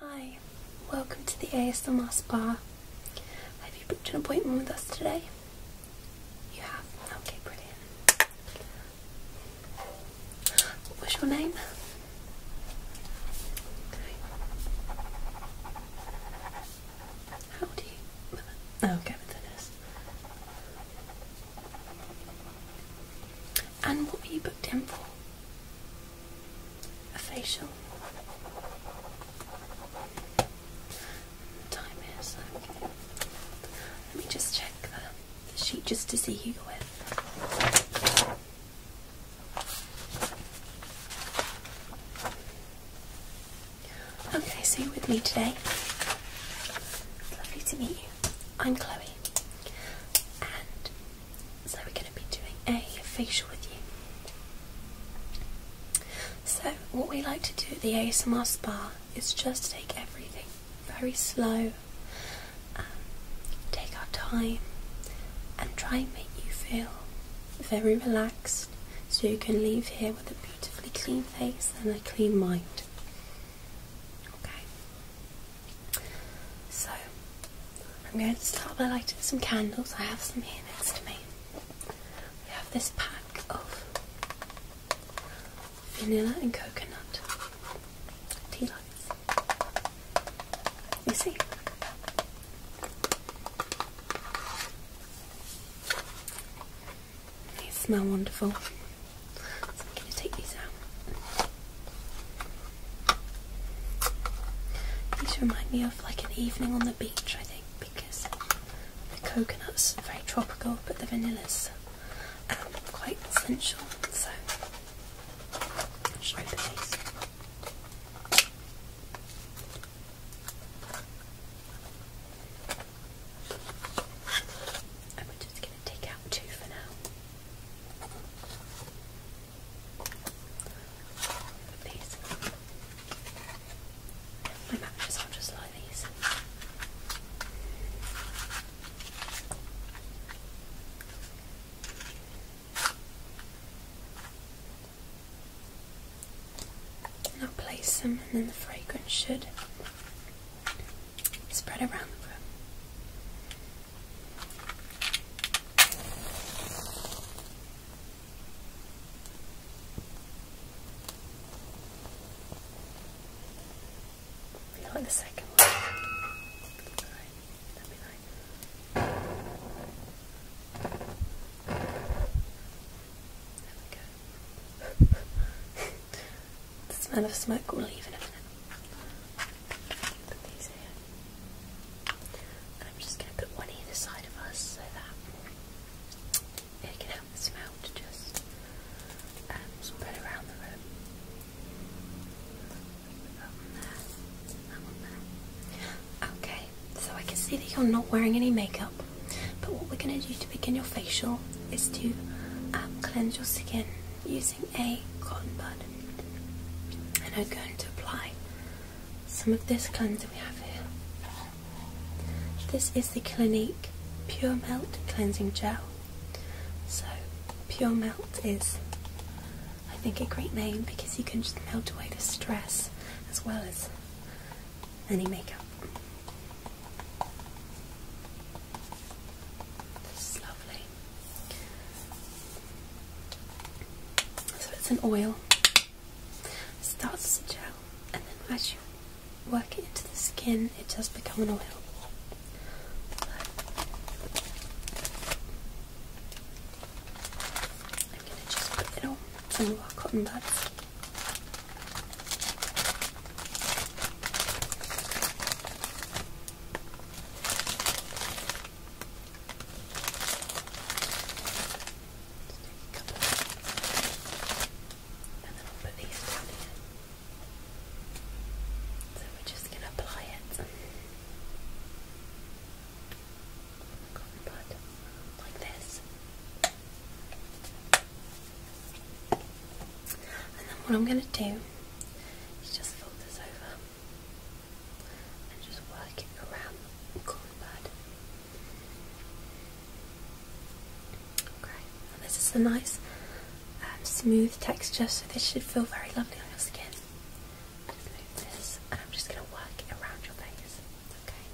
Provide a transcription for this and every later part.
Hi, welcome to the ASMR Spa. Have you booked an appointment with us today? You have? Okay, brilliant. What's your name? Okay. How do you. Oh, okay, And what were you booked in for? a facial. Time is. Let me just check the, sheet just to see who you're with. Okay, so you're with me today. It's lovely to meet you. I'm Chloe, so we're going to be doing a facial with you. So what we like to do at the ASMR spa is just take everything very slow, um, take our time and try and make you feel very relaxed so you can leave here with a beautifully clean face and a clean mind. Okay. So I'm going to start by lighting some candles. I have some here next to me. We have this pack of vanilla and coconut tea lights. You see? They smell wonderful. I'm going to take these out. These remind me of like an evening on the beach, I think, because the coconuts are very tropical, but the vanilla's um, quite essential. So, i am just going to take out two for now these. My mattress, I'll just like these. And I'll place them, and then the fragrance should spread around the room. Not the second one. That'd be nice. There we go. the smell of smoke will leave in a minute. I'm just going to put one either side of us so that it can help the smell just um, around the room. Okay, so I can see that you're not wearing any makeup, but what we're going to do to begin your facial is to um, cleanse your skin using a cotton bud and I'm going to apply some of this cleanser we have here. This is the Clinique Pure Melt Cleansing Gel. So Pure Melt is I think a great name because you can just melt away the stress as well as any makeup. This is lovely. So it's an oil. It starts as a gel, and then as you work it into the skin, it does become an oil. I'm going to just put it on some of cotton buds and then i So we're just going to apply it like this. And then what I'm going to do is just fold this over and just work it around the colour pad. Okay, and this is a nice um, smooth texture, so this should feel very lovely on your skin. Just move this, and I'm just going to work it around your face. Okay.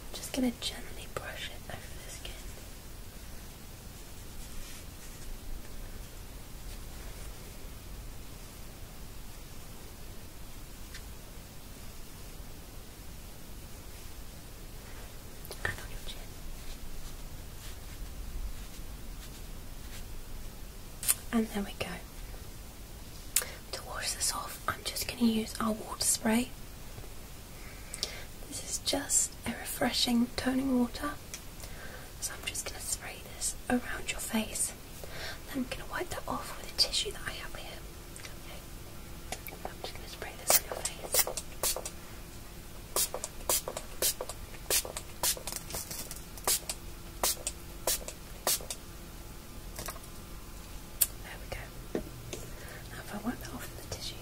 I'm just going to gently brush it over the skin and there we go. To wash this off, I'm just going to use our water spray. This is just a refreshing toning water. So I'm just going to spray this around your face. Then I'm going to wipe that off with a tissue that I have here. Okay. I'm just going to spray this on your face. There we go. Now, if I wipe that off in the tissue,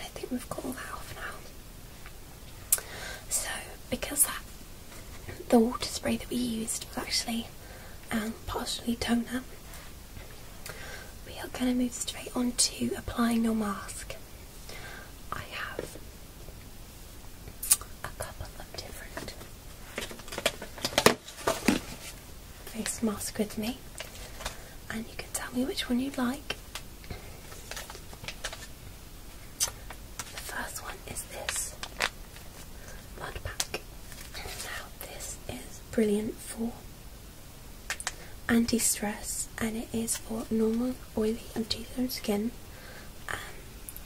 I think we've got all that off now. So, because the water spray that we used was actually um, partially toner, we are going to move straight on to applying your mask. I have a couple of different face masks with me, and you can tell me which one you'd like. The first one is this mud pack. Now, this is brilliant for anti stress, and it is for normal, oily, and untethered skin. Um,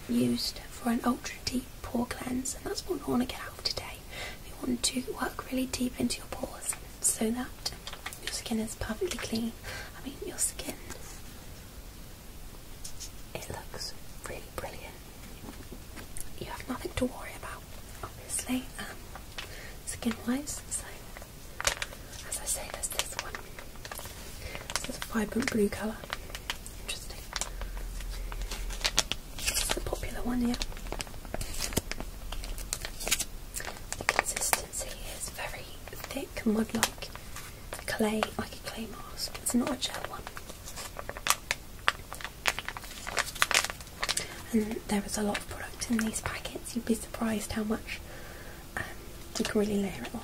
used for an ultra deep pore cleanse, and that's what we want to get out of today. We want to work really deep into your pores so that your skin is perfectly clean. I mean, your skin. It looks really brilliant. You have nothing to worry about, obviously, um, skin wise. So, as I say, there's this one. This is a vibrant blue colour. Interesting. It's a popular one here. The consistency is very thick, mud-like clay, like a clay mask. It's not a gel one. And there is a lot of product in these packets. You'd be surprised how much um, you can really layer it on.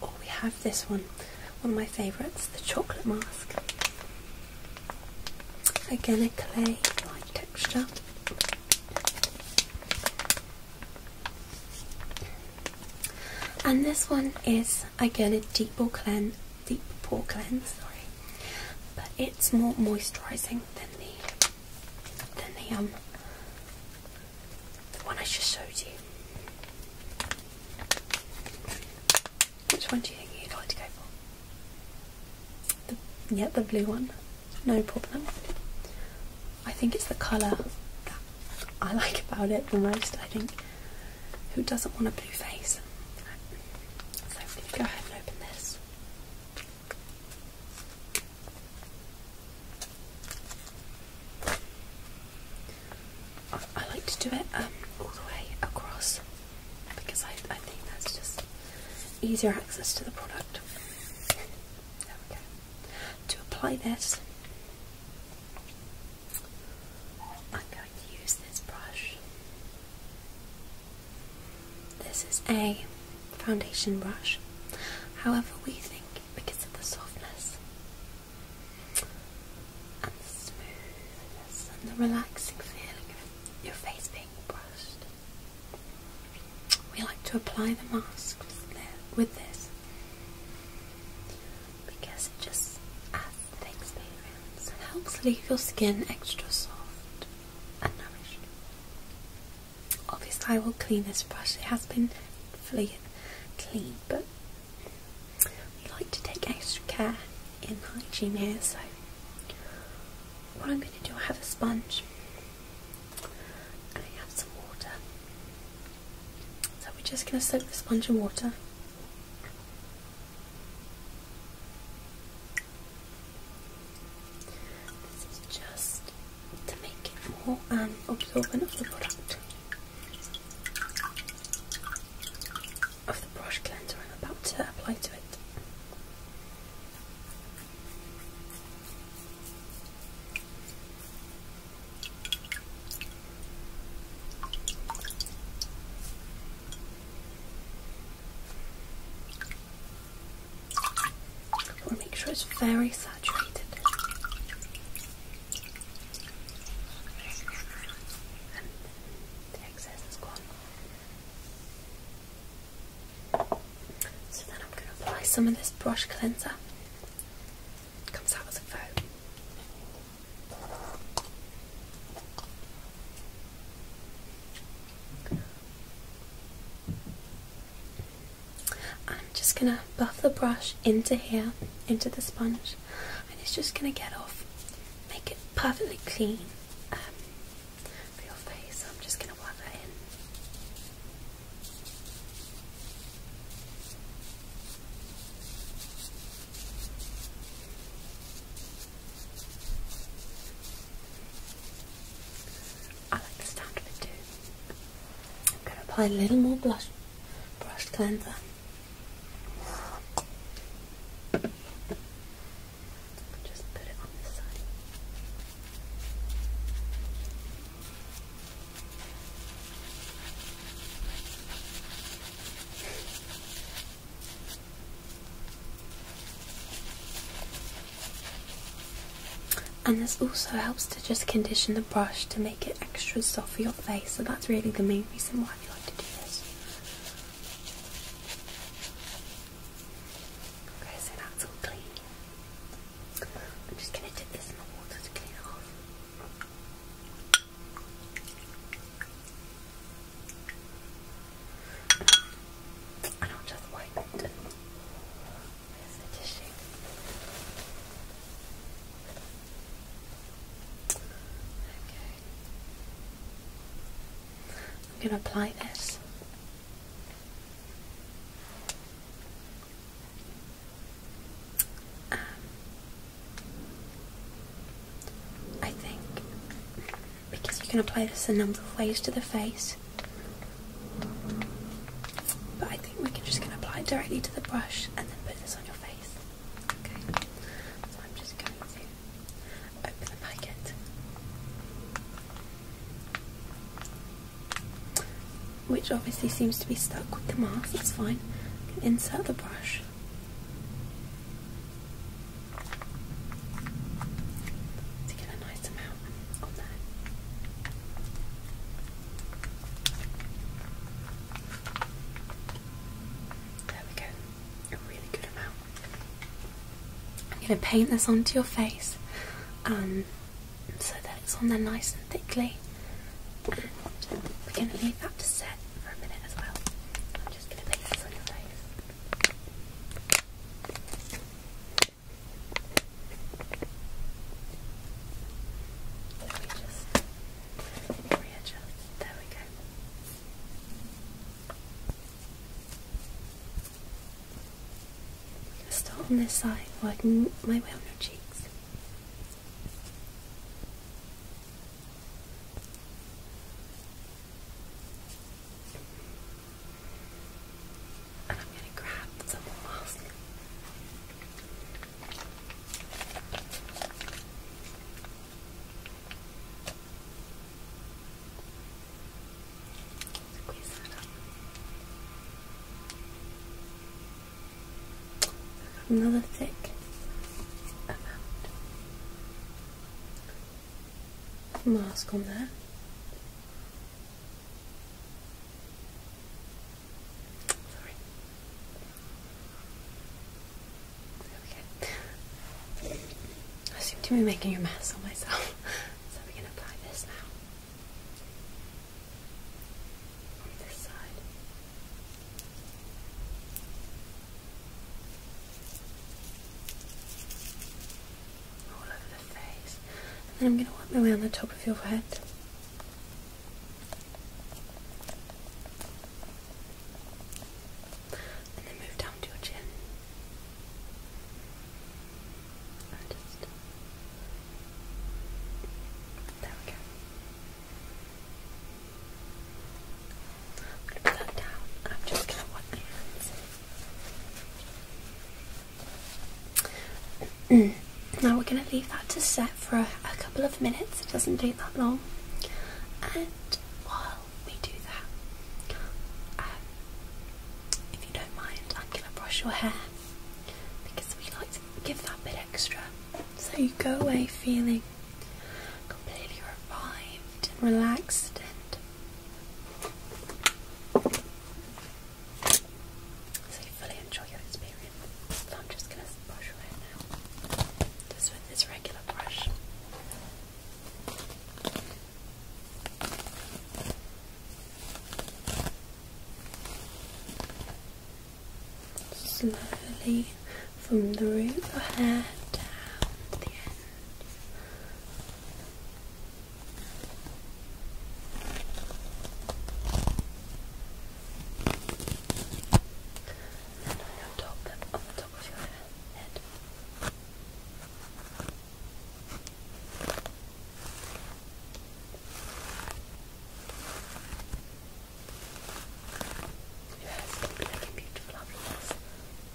Or oh, we have this one, one of my favourites, the chocolate mask. Again, a clay-like texture. And this one is again a deep pore cleanse, deep pore cleanse, sorry, but it's more moisturising than the than the um the one I just showed you. Which one do you think you'd like to go for? The, yeah, the blue one. No problem. I think it's the colour that I like about it the most, I think. Who doesn't want a blue face? So go ahead and open this. I, like to do it um, all the way across because I, I think that's just easier access to the product. There we go. To apply this, I'm going to use this brush this is a foundation brush, however, we think because of the softness and the smoothness and the relaxing feeling of your face being brushed. We like to apply the mask with this because it just adds the experience and helps leave your skin extra soft and nourished. Obviously, I will clean this brush. It has been fully clean, but we like to take extra care in hygiene here. So, what I'm going to do, I have a sponge I have some water. So we're just going to soak the sponge in water. This is just to make it more um, absorbent of the product of the brush cleanser I'm about to apply to it make sure it's very saturated. So then I'm going to apply some of this brush cleanser. comes out as a foam. I'm just gonna buff the brush into here, into the sponge, and it's just gonna get off, make it perfectly clean um, for your face. I'm just gonna work that in. I like the sound too. I'm going to apply a little more blush Brush cleanser. Just put it on this side. And this also helps to just condition the brush to make it extra soft for your face, so that's really the main reason why we like to do this. Okay, so that's all clean. I'm just going to dip this in the water to clean it off. And I'll just wipe it the tissue. Okay. I'm going to apply this. Um, I think because you can apply this a number of ways to the face. But I think we can just gonna apply it directly to the brush and then put this on your face. Okay. So I'm just going to open the packet. Which obviously seems to be stuck with the mask, that's fine. Insert the brush to get a nice amount on there. There we go, a really good amount. I'm going to paint this onto your face um, so that it's on there nice and thickly. we're going to leave that to set for a minute as well. I'm just going to paint this on your face. Let me just readjust. There we go. i to start on this side, working my way on your cheeks. And I'm gonna grab some moss. Squeeze that up. Another thick amount mask on there. Sorry. There I seem to be making your mask on myself, so we're apply this now. On this side all over the face. And then I'm going to wipe my way around the top of your head. And then move down to your chin. just... There we go put that down I'm just gonna wipe my hands. now we're gonna leave that to set for a, couple of minutes, it doesn't take that long. And while we do that, um, if you don't mind, I'm gonna brush your hair because we like to give that bit extra so you go away feeling completely revived and relaxed and so you fully enjoy your experience. I'm just going to brush away now, just with this regular brush. Slowly from the root of your hair down the end. And on top, on the top of your head. Your beautiful lovely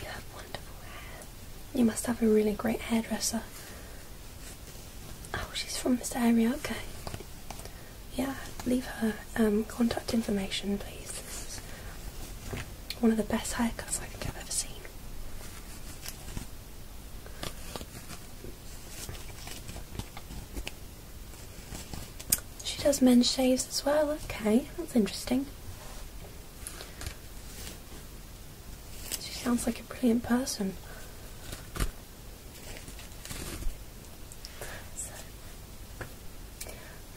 You have wonderful hair. You must have a really great hairdresser. Oh, she's from this area, okay. Yeah, leave her um, contact information, please. This is one of the best haircuts I think I've ever seen. She does men's shaves as well, okay, that's interesting. She sounds like a brilliant person.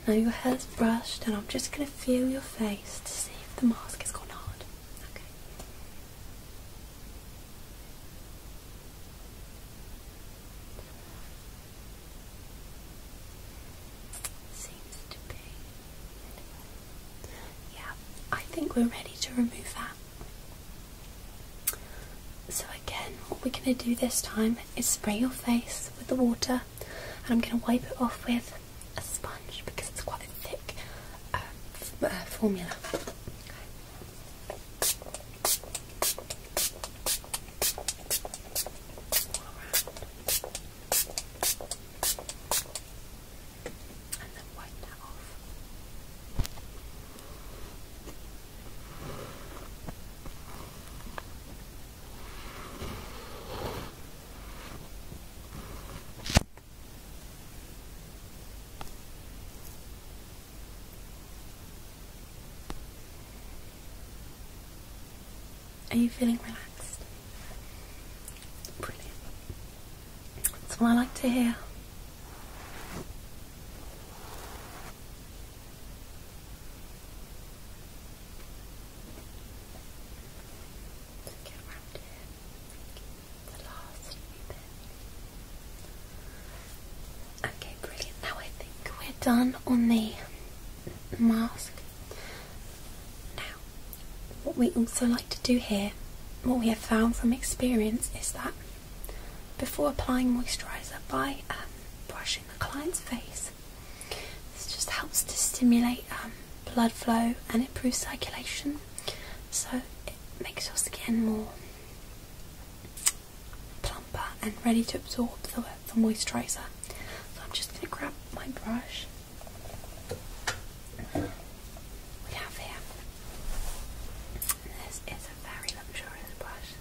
now your hair's brushed, and I'm just going to feel your face to see if the mask has gone hard. Okay. See, yeah, I think we're ready to remove that. So again, what we're going to do this time is spray your face with the water and I'm going to wipe it off with a sponge because it's quite a thick um, uh, formula and then wipe that off. Are you feeling relaxed? Brilliant. That's what I like to hear. Okay, brilliant. Now I think we're done on the mask. Now, what we also like to do here, what we have found from experience, is that before applying moisturiser by um, brushing the client's face, this just helps to stimulate um, blood flow and improve circulation, so it makes your skin more plumper and ready to absorb the moisturiser. So I'm just going to grab my brush we have here. This is a very luxurious brush.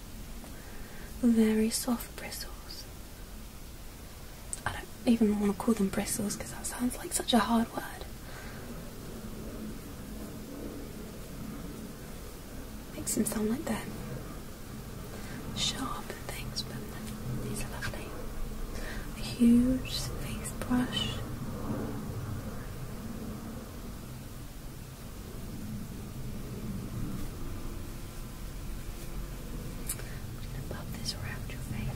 Very soft bristles. I don't even want to call them bristles because that sounds like such a hard word. Makes them sound like they're sharp things, but these lovely. A huge face brush. I'm going to pop this around your face.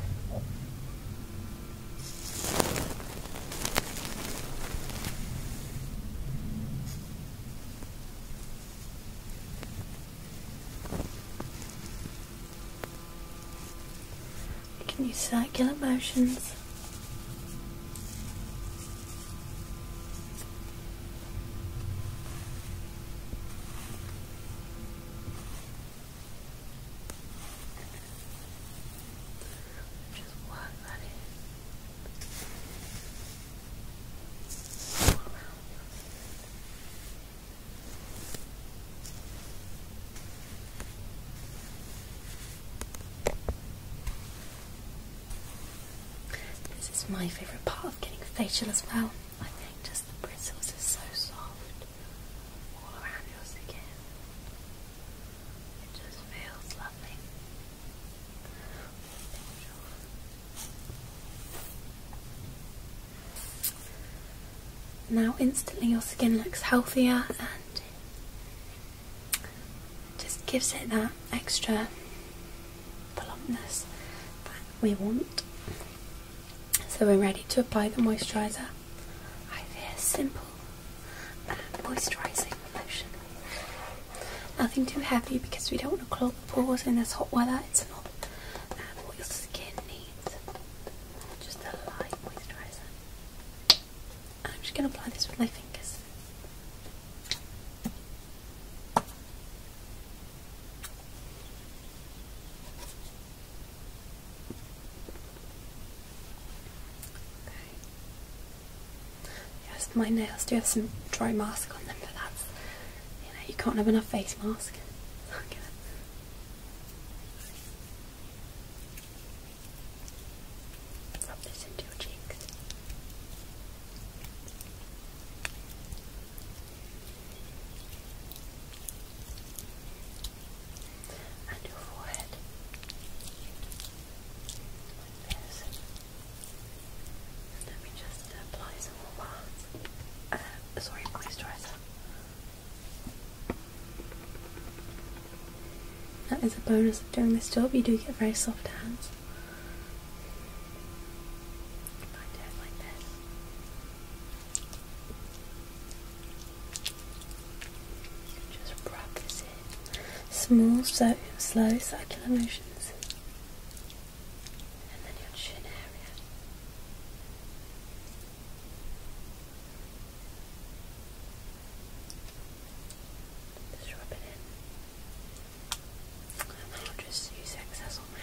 You can use circular motions. Just work that this is my favourite part of getting a facial as well. I think just the bristles are so soft all around your skin. It just feels lovely. Now, instantly, your skin looks healthier and just gives it that extra plumpness that we want. So, we're ready to apply the moisturiser. I fear simple moisturising lotion. Nothing too heavy because we don't want to clog the pores in this hot weather. It's not um, what your skin needs just a light moisturiser. I'm just going to apply this with my fingers. Okay. Yes, my nails do you have some dry mask on them, for that? you know, you can't have enough face mask. Rub this into your cheeks. And your forehead. Let me just uh, sorry, moisturiser. That is a bonus of doing this job, you do get very soft hands. Just rub this in. Small, so slow circular motions and then your chin area. Just rub it in. And i just use excess on my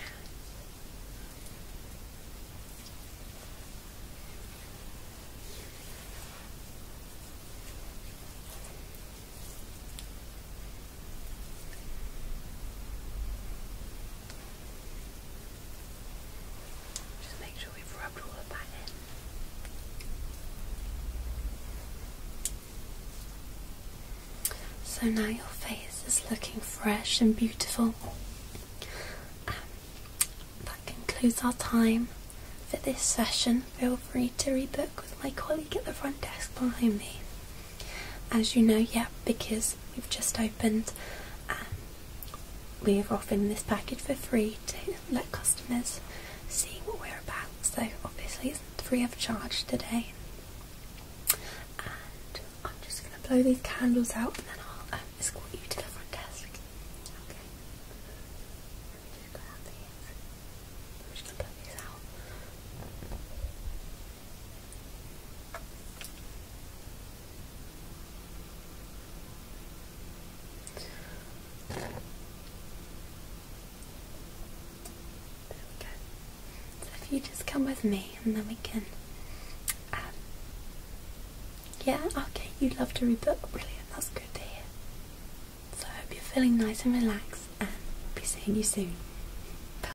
just make sure we've rubbed all of that in. So now your face is looking fresh and beautiful. Um, that concludes our time for this session. Feel free to rebook with my colleague at the front desk behind me. As you know, yeah, because we've just opened, um, we are offering this package for free to let customers see what we're about. So obviously it's free of charge today. And I'm just going to blow these candles out and then I'll um, escort you to the front desk. Okay. So if you just come with me and then we can. Um, yeah, okay, you would love to read the Brilliant, that's good to hear. So I hope you're feeling nice and relaxed and I'll be seeing you soon.